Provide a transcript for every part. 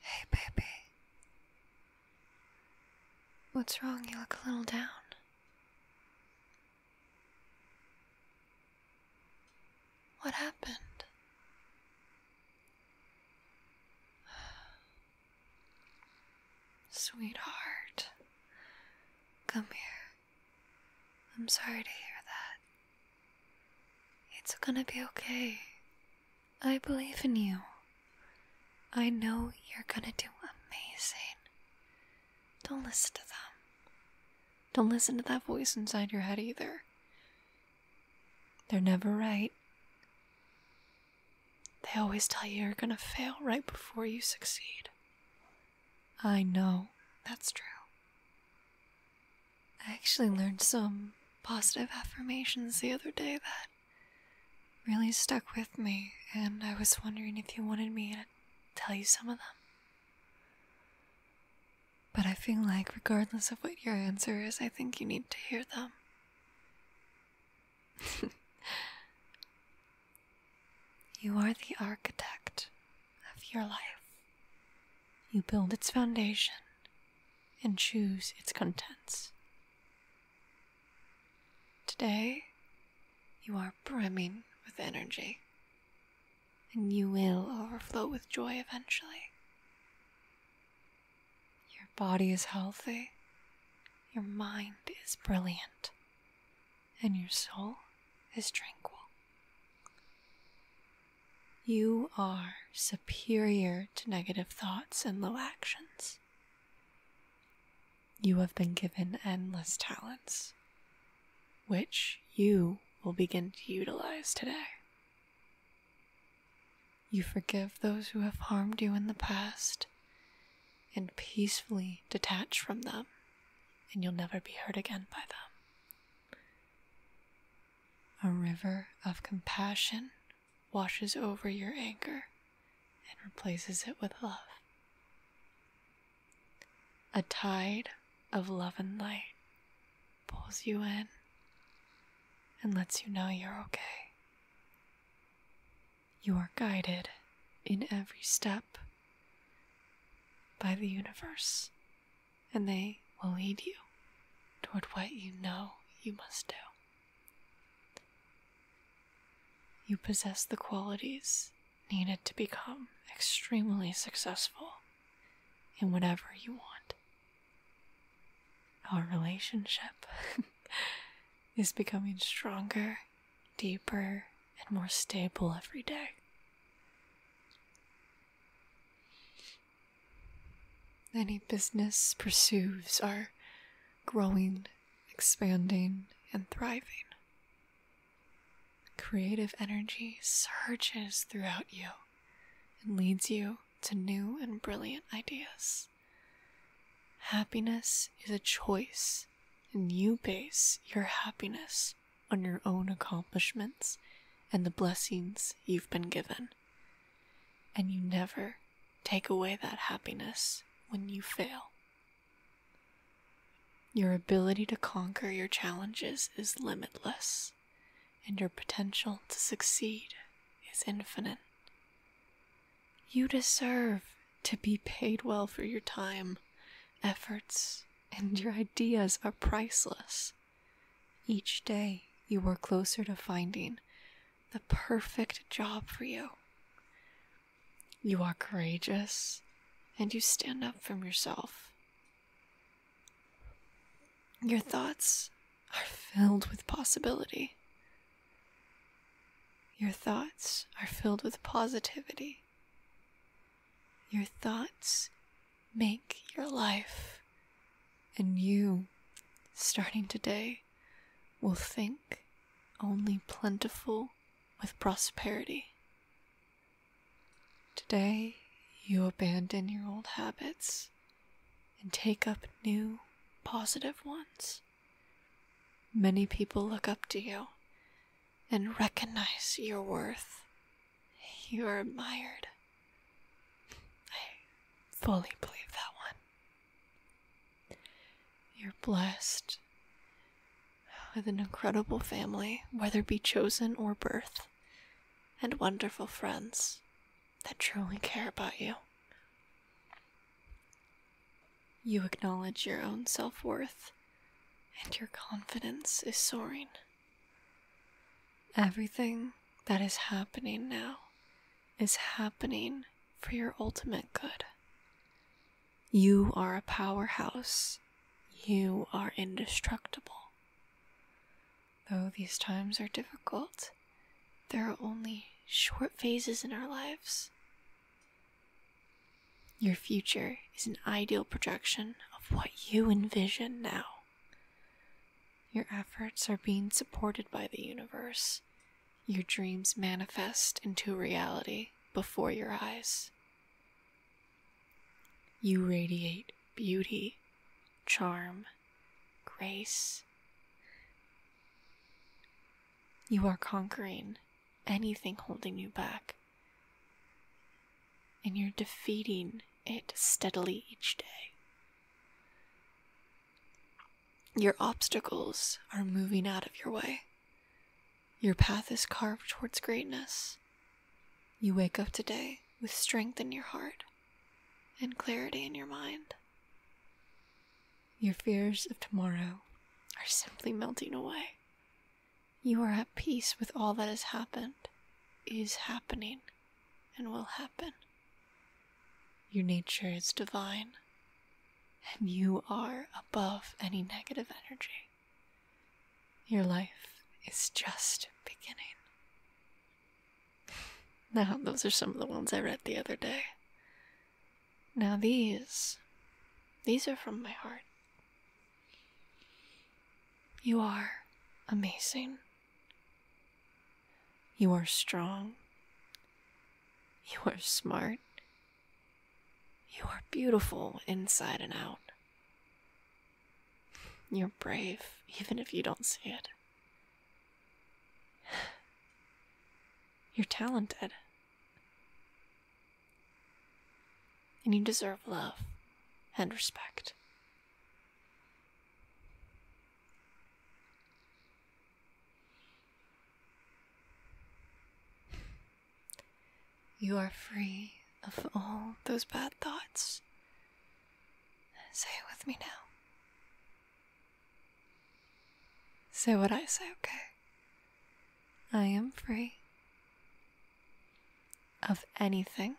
Hey, baby. What's wrong? You look a little down. What happened? Sweetheart, come here. I'm sorry to hear that. It's gonna be okay. I believe in you. I know you're gonna do amazing. Don't listen to them. Don't listen to that voice inside your head either. They're never right. They always tell you you're gonna fail right before you succeed. I know that's true. I actually learned some positive affirmations the other day that really stuck with me, and I was wondering if you wanted me to tell you some of them. But I feel like, regardless of what your answer is, I think you need to hear them. you are the architect of your life. You build its foundation and choose its contents. Today, you are brimming with energy, and you will overflow with joy eventually. Your body is healthy, your mind is brilliant, and your soul is tranquil. You are superior to negative thoughts and low actions. You have been given endless talents, which you will begin to utilize today. You forgive those who have harmed you in the past and peacefully detach from them, and you'll never be hurt again by them. A river of compassion washes over your anger and replaces it with love. A tide of love and light pulls you in and lets you know you're okay. You are guided in every step by the universe and they will lead you toward what you know you must do. You possess the qualities needed to become extremely successful in whatever you want. Our relationship is becoming stronger, deeper, and more stable every day. Any business pursues are growing, expanding, and thriving. Creative energy surges throughout you and leads you to new and brilliant ideas. Happiness is a choice, and you base your happiness on your own accomplishments and the blessings you've been given. And you never take away that happiness when you fail. Your ability to conquer your challenges is limitless, and your potential to succeed is infinite. You deserve to be paid well for your time, efforts, and your ideas are priceless. Each day, you are closer to finding the perfect job for you. You are courageous and you stand up from yourself. Your thoughts are filled with possibility. Your thoughts are filled with positivity. Your thoughts make your life, and you, starting today, will think only plentiful with prosperity. Today, you abandon your old habits and take up new positive ones. Many people look up to you and recognize your worth. You are admired. I fully believe that one. You're blessed with an incredible family, whether be chosen or birth, and wonderful friends that truly care about you. You acknowledge your own self worth, and your confidence is soaring. Everything that is happening now is happening for your ultimate good. You are a powerhouse. You are indestructible. Though these times are difficult, there are only short phases in our lives. Your future is an ideal projection of what you envision now. Your efforts are being supported by the universe. Your dreams manifest into reality before your eyes. You radiate beauty, charm, grace. You are conquering anything holding you back. And you're defeating it steadily each day. Your obstacles are moving out of your way. Your path is carved towards greatness. You wake up today with strength in your heart and clarity in your mind. Your fears of tomorrow are simply melting away. You are at peace with all that has happened, is happening, and will happen. Your nature is divine, and you are above any negative energy. Your life is just beginning. Now, those are some of the ones I read the other day. Now, these, these are from my heart. You are amazing. You are strong. You are smart. You are beautiful inside and out. You're brave, even if you don't see it. You're talented. And you deserve love and respect. You are free of all those bad thoughts. Say it with me now. Say what I say, okay? I am free of anything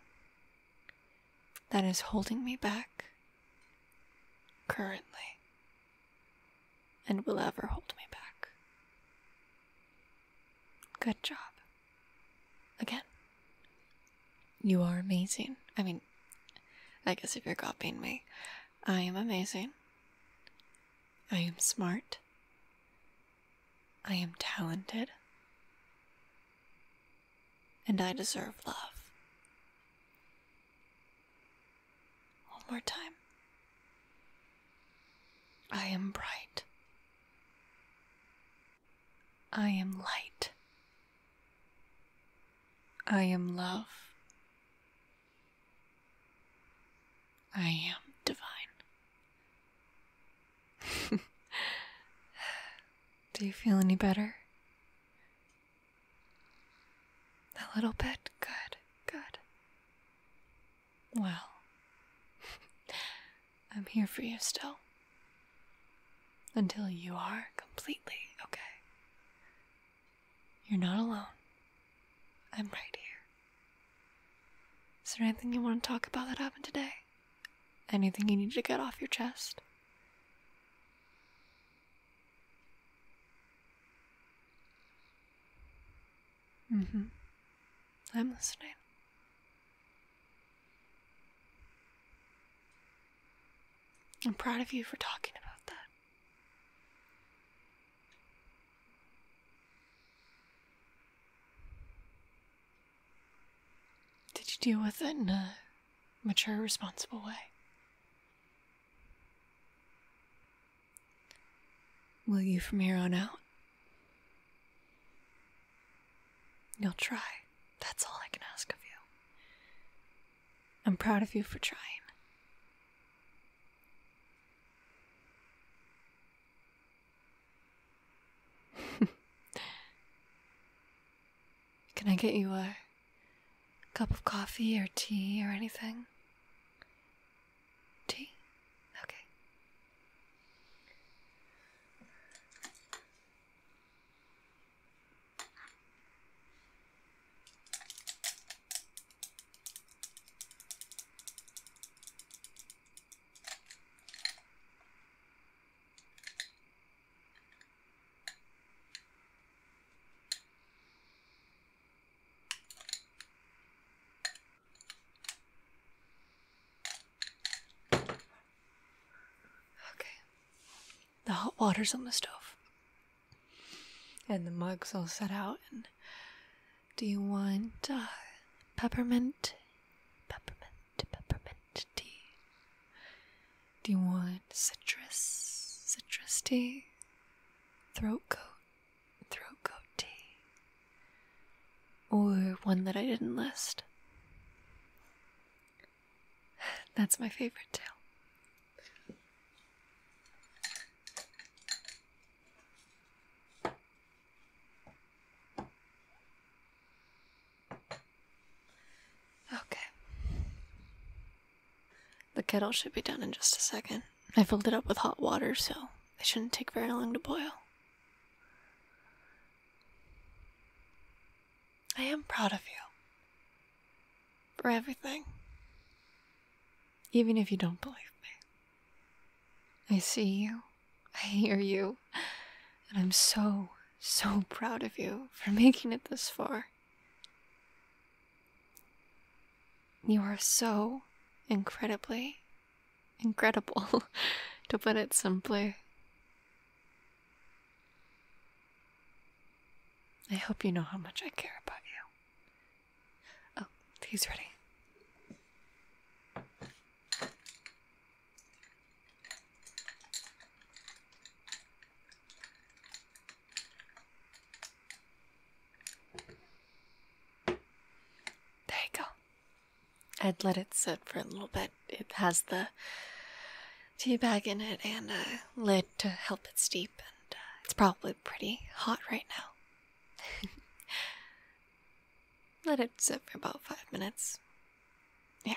that is holding me back currently and will ever hold me back. Good job. Again, you are amazing. I mean, I guess if you're copying me, I am amazing. I am smart. I am talented. And I deserve love. One more time. I am bright. I am light. I am love. I am divine. Do you feel any better? A little bit? Good, good. Well, I'm here for you still. Until you are completely okay. You're not alone. I'm right here. Is there anything you want to talk about that happened today? Anything you need to get off your chest? Mm hmm. I'm listening. I'm proud of you for talking about that. Did you deal with it in a mature, responsible way? Will you from here on out? You'll try. That's all I can ask of you. I'm proud of you for trying. Can I get you a cup of coffee or tea or anything? Tea? Okay. Okay. The hot water's on the stove and the mugs all set out. And do you want uh, peppermint, peppermint, peppermint tea? Do you want citrus, citrus tea, throat coat, throat coat tea, or one that I didn't list? That's my favorite too. Okay. The kettle should be done in just a second. I filled it up with hot water, so it shouldn't take very long to boil. I am proud of you for everything, even if you don't believe me. I see you, I hear you, and I'm so, so proud of you for making it this far. You are so incredibly incredible, to put it simply. I hope you know how much I care about you. Oh, he's ready. There you go. I'd let it sit for a little bit it has the tea bag in it and a lid to help it steep, and uh, it's probably pretty hot right now. Let it sit for about five minutes. Yeah.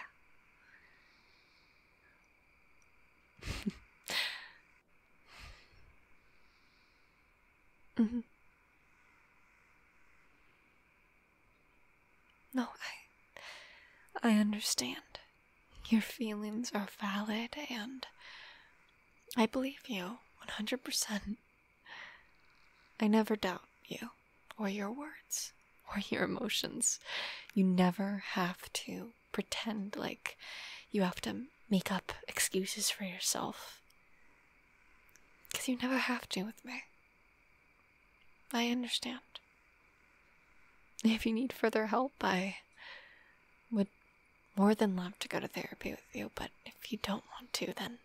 mm -hmm. No, I. I understand. Your feelings are valid, and I believe you 100%. I never doubt you, or your words, or your emotions. You never have to pretend like you have to make up excuses for yourself. Because you never have to with me. I understand. If you need further help, I would more than love to go to therapy with you, but if you don't want to, then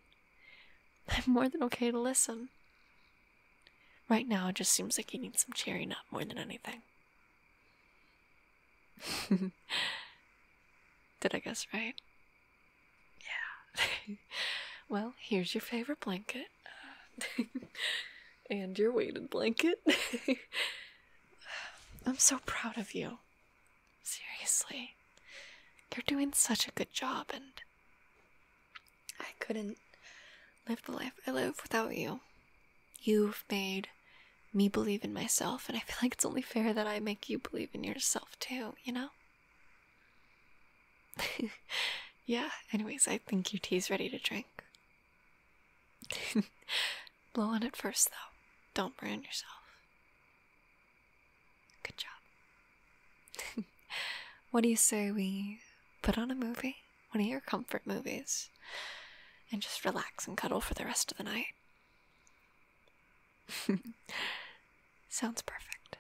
I'm more than okay to listen. Right now, it just seems like you need some cheering up more than anything. Did I guess right? Yeah. well, here's your favorite blanket. and your weighted blanket. I'm so proud of you. Seriously. You're doing such a good job, and I couldn't live the life I live without you. You've made me believe in myself, and I feel like it's only fair that I make you believe in yourself too, you know? yeah, anyways, I think your tea's ready to drink. Blow on it first, though. Don't burn yourself. Good job. what do you say we put on a movie? One of your comfort movies. And just relax and cuddle for the rest of the night. Sounds perfect.